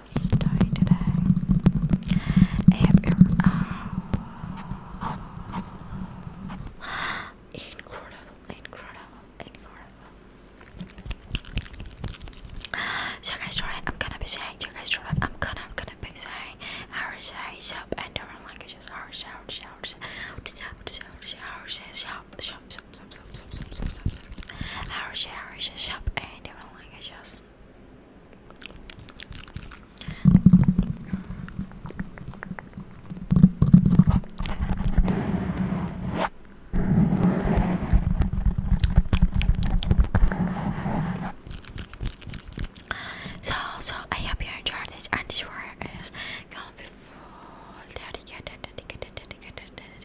must die today. AFM. Oh. Incredible, incredible, incredible. So guys, today I'm gonna be saying, so guys, today I'm gonna, I'm gonna be saying, our size shop and different languages, our shout, shout, shout, shout, shout, shout, shout, shout, Harish, Harish, shop, and different languages. So, so I hope you enjoyed this, and this war is gonna be full dedicated, dedicated, dedicated, dedicated,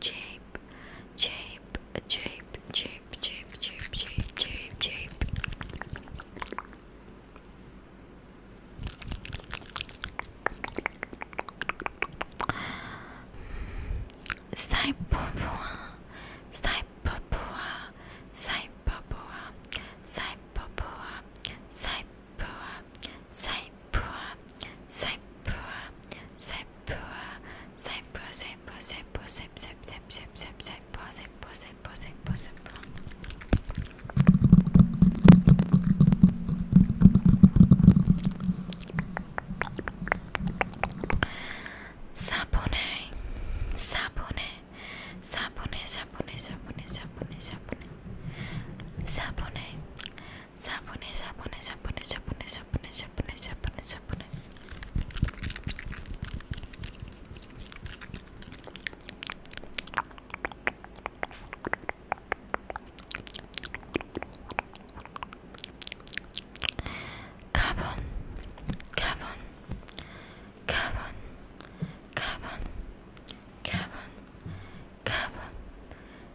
Shape, shape, shape, shape, shape, shape, shape, shape, shape. Sai Papua, Sai Papua, Sai Papua, Saipua, Saipua, Saipua, Saipua, Saipua, Saipua, Saip, Saip, Saip, Saip, Saip, Saipua, Saipua, Saipua, Saipua, Saipua. Sapone, sapone, sapone, sapone, sapone, sapone, sapone, sapone, sapone, sapone sapone sapone sapone sapone sapone sapone sapone carbon carbon carbon carbon carbon carbon carbon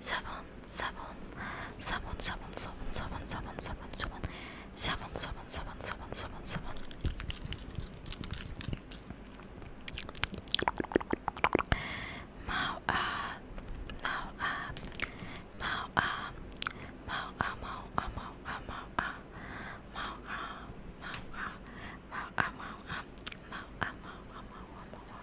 sabun sabun sabun sabun sabun sabun sabun sabun sabun sabun sabun sabun sabun sabun sabun mau ah mau ah mau ah mau ah mau ah mau ah mau ah mau ah mau ah mau ah mau ah mau ah mau ah mau ah mau ah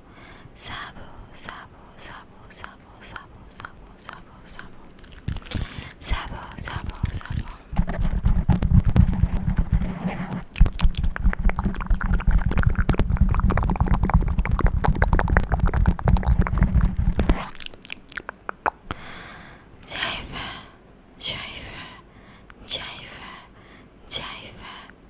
Sabo, sabo, sabo, sabo, sabo, sabo, sabo, sabo, sabo, sabo, sabo. Jive, jive, jive, jive.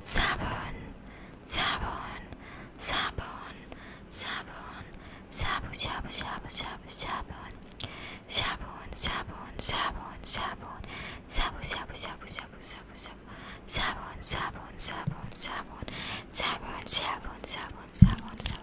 sabun sabun sabun sabun sabu sabu sabu sabu sabun sabun sabun sabun sabun sabu sabu sabu sabu sabu sabu sabun sabun sabun sabun sabun sabun sabun sabun sabun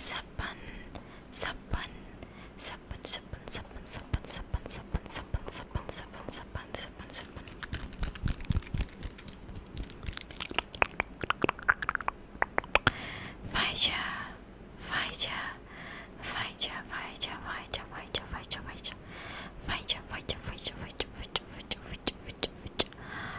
Sapan, sapan, sapan, sapan, sapan, sapan, sapan, sapan, sapan, sapan, sapan, sapan, sapan, sapan. Vaja, vaja, vaja, vaja, vaja, vaja, vaja, vaja, vaja, vaja, vaja, vaja, vaja, vaja, vaja, vaja, vaja, vaja,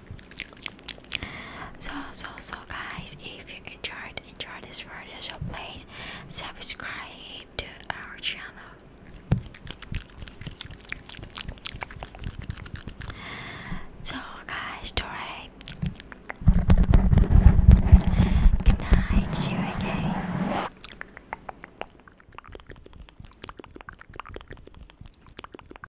So so so guys, if you enjoyed enjoyed this video, so please subscribe to our channel. So guys, today. Good night. See you again.